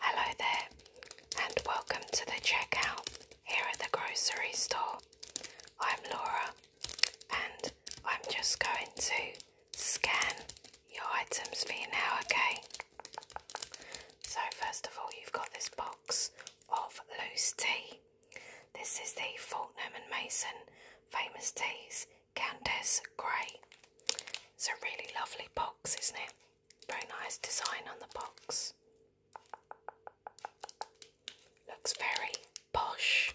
Hello there, and welcome to the checkout here at the grocery store. I'm Laura, and I'm just going to scan your items for you now, okay? So, first of all, you've got this box of loose tea. This is the Faulkner and Mason famous teas Countess Grey. It's a really lovely box, isn't it? Very nice design on the box. Looks very posh.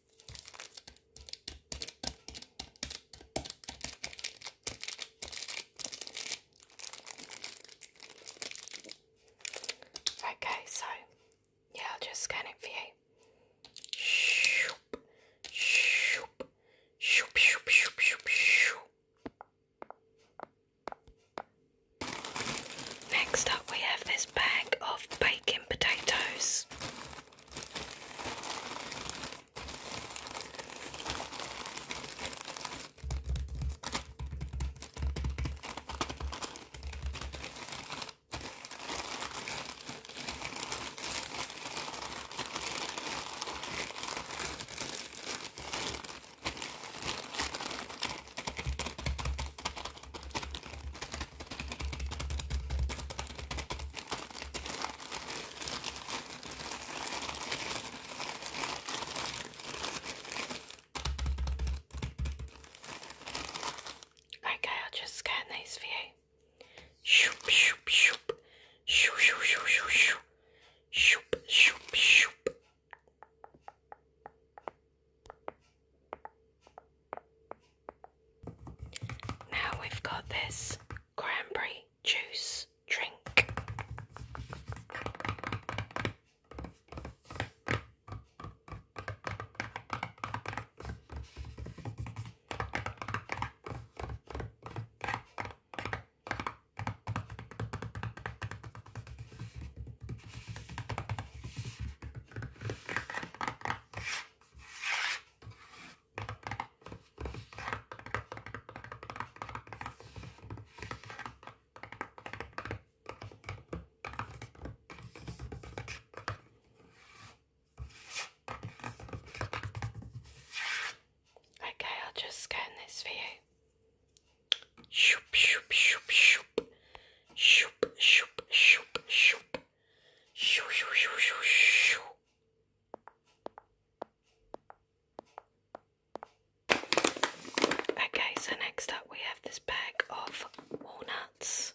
Okay, so yeah, I'll just scan it for you. Shoop, shoop, shoop, shoop, shoop, shoop, Next up, we have this bag of bacon potatoes. Okay, I'll just scan these for you. Shoop, shoop, shoop. Shoop, shoop, shoop, shoop, shoop. Shoop, shoop, shoop. Now we've got this cranberry juice drink. Okay, I'll just scan this for you. Shoop, shoop, shoop, shoop. Shoop, shoop, shoop, shoop. Shoo, shoo, shoo, shoo, shoo. Okay, so next up we have this bag of walnuts.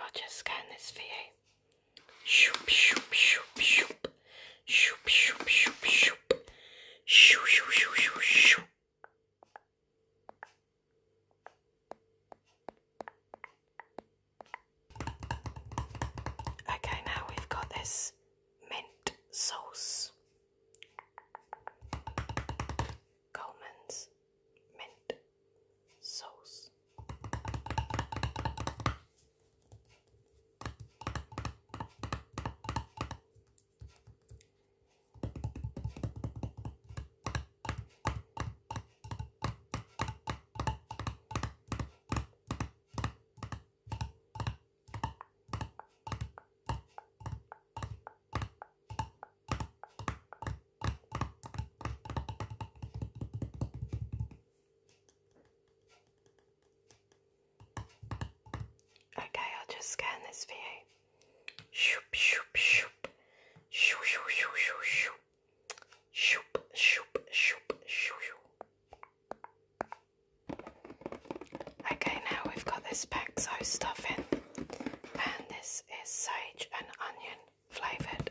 I'll just scan this for you. Shoop, shoop, shoop, shoop. Shoop, shoop, shoop, shoop. Shoo, shoo, shoo, Okay, now we've got this mint sauce. Coleman's mint sauce. Okay, I'll just scan this for you. Shoop, shoop, shoop. Shoo, shoo, Shoop, shoop, shoop, Okay, now we've got this Paxo stuff in and this is sage and onion flavored.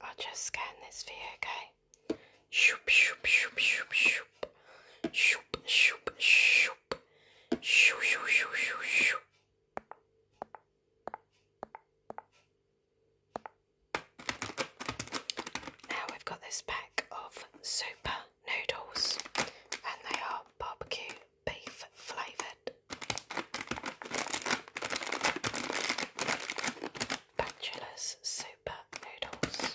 I'll just scan this for you, okay? Shoop, shoop, shoop, shoop, shoop. Shoop, shoop, shoop. Shoo, shoo, shoo, shoo, Now we've got this pack of super noodles, and they are barbecue beef flavoured. Bachelor's Super Noodles.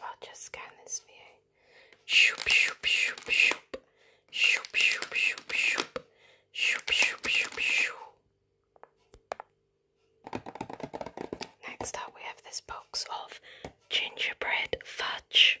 I'll just scan this Shoop, shoop, shoop, shoop. Shoop, shoop, shoop, shoop. Shoop, shoop, shoop, shoop. Next up, we have this box of gingerbread fudge.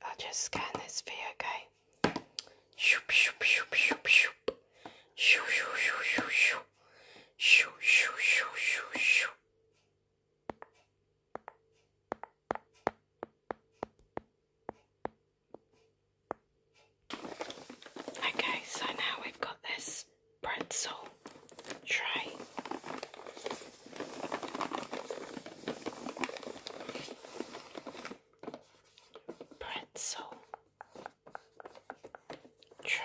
I'll just scan this video, okay? Shoop, shoop, shoop, shoop, shoop. Shoo, shoo, shoo, shoo, shoo. Shoo, shoo, shoo, shoo, Okay, so now we've got this pretzel tray. Pretzel try.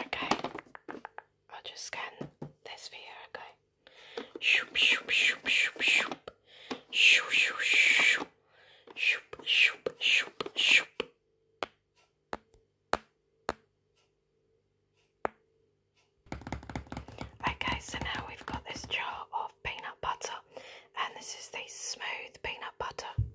Okay, I'll just scan this for you, okay? Shoop, shoop, shoop, shoop, shoop. Shoop, shoop, shoop. Shoop, shoop, shoop, shoop. Okay, so now we've got this jar of peanut butter, and this is the smooth peanut butter.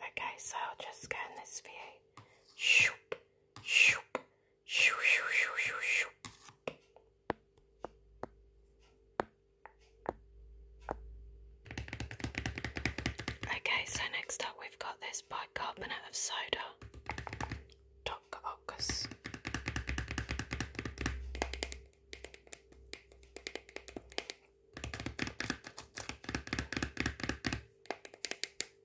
Okay, so I'll just scan this for you. Shoop, shoop, shoo, shoo, shoo, shoo, shoo. Okay, so next up we've got this bicarbonate of soda. Doc Ockers.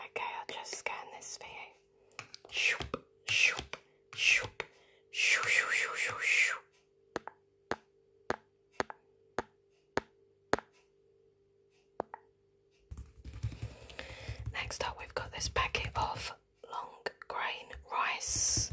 Okay, I'll just scan this for you. Shoop, shoop, shoop, shoo, shoo, shoo, shoo, Next up, we've got this packet of long grain rice.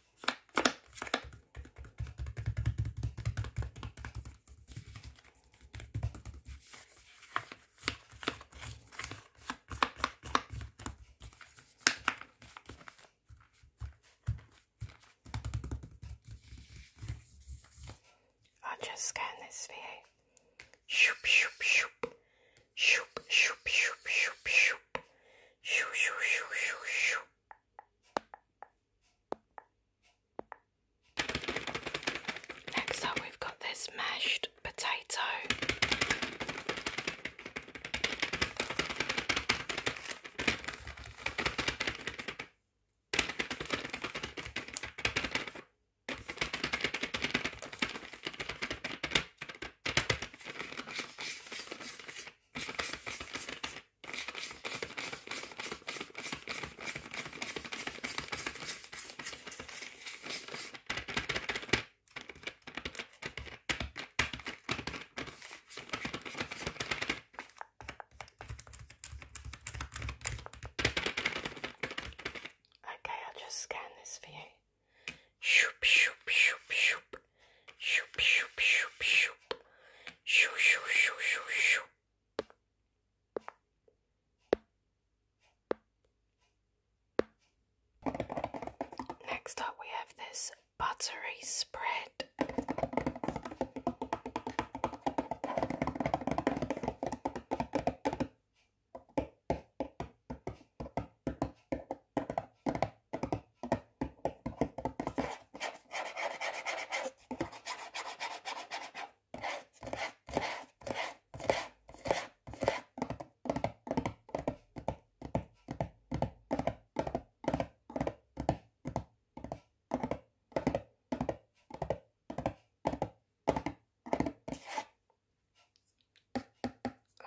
I'll just scan this for you. Shoop, shoop, shoop. Shoop, shoop, shoop, shoop, shoop. Shoop, shoop, shoop, shoop, shoop. Next up, we've got this mashed potato. Okay, I'll just scan this for you. Shoop, shoop, shoop, shoop. Next up, we have this buttery spread.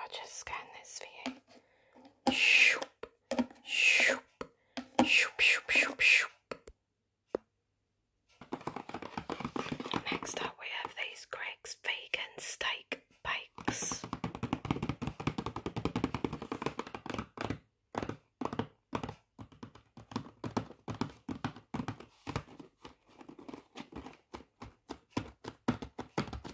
I'll just scan this for you. Shoo. Shoop, shoop, shoop, shoop, shoop. Next up, we have these Greg's Vegan Steak Bakes.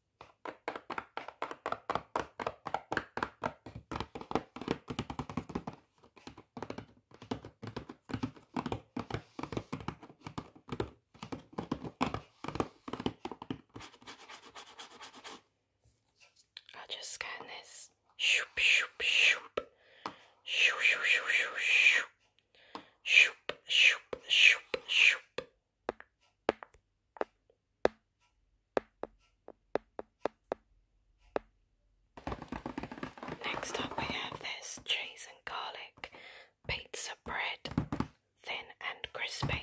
I'll just scan this. Shoop, shoop, shoop. Shoop, shoop, shoop, shoop, shoop. Shoop, shoop, shoop, Next up, we have this cheese and garlic pizza bread, thin and crispy.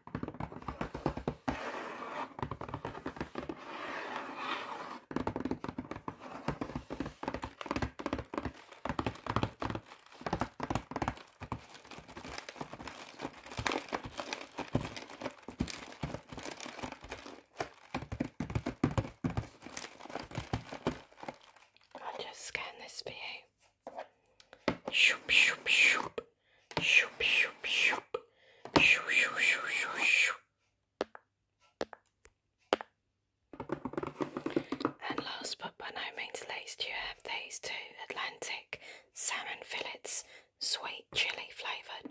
I'll just scan this for you. And last but by no means least, you have these two Atlantic salmon fillets, sweet chili flavoured.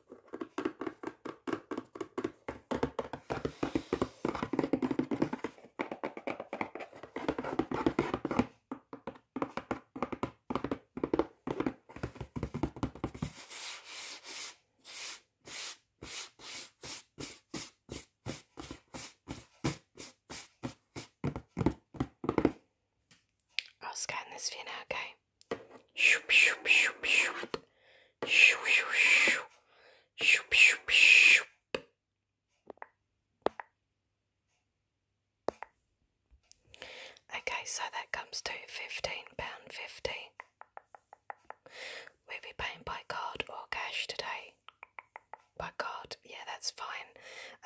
I'll scan this for you now, okay? Okay, so that comes to £15.50. We'll be paying by card or cash today. By card, yeah, that's fine.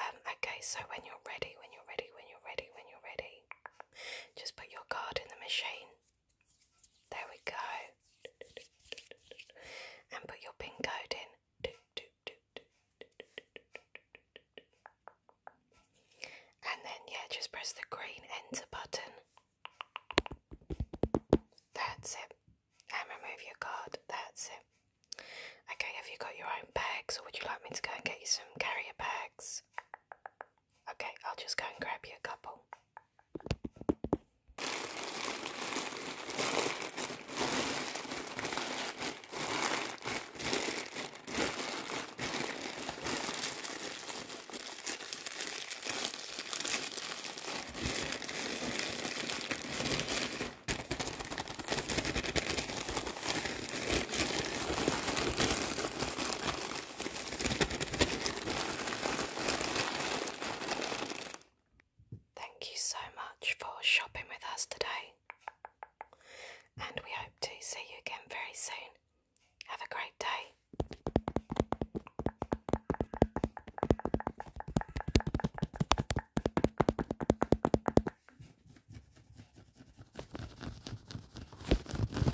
Um, okay, so when you're ready, when you're ready, when you're ready, when you're ready, just put your card in the machine. There we go. And put your pin code in. And then, yeah, just press the green enter button. That's it. And remove your card. That's it. Okay, have you got your own bags or would you like me to go and get you some carrier bags? Okay, I'll just go and grab you a couple. Thank you so much for shopping with us today, and we hope to see you again very soon. Have a great day.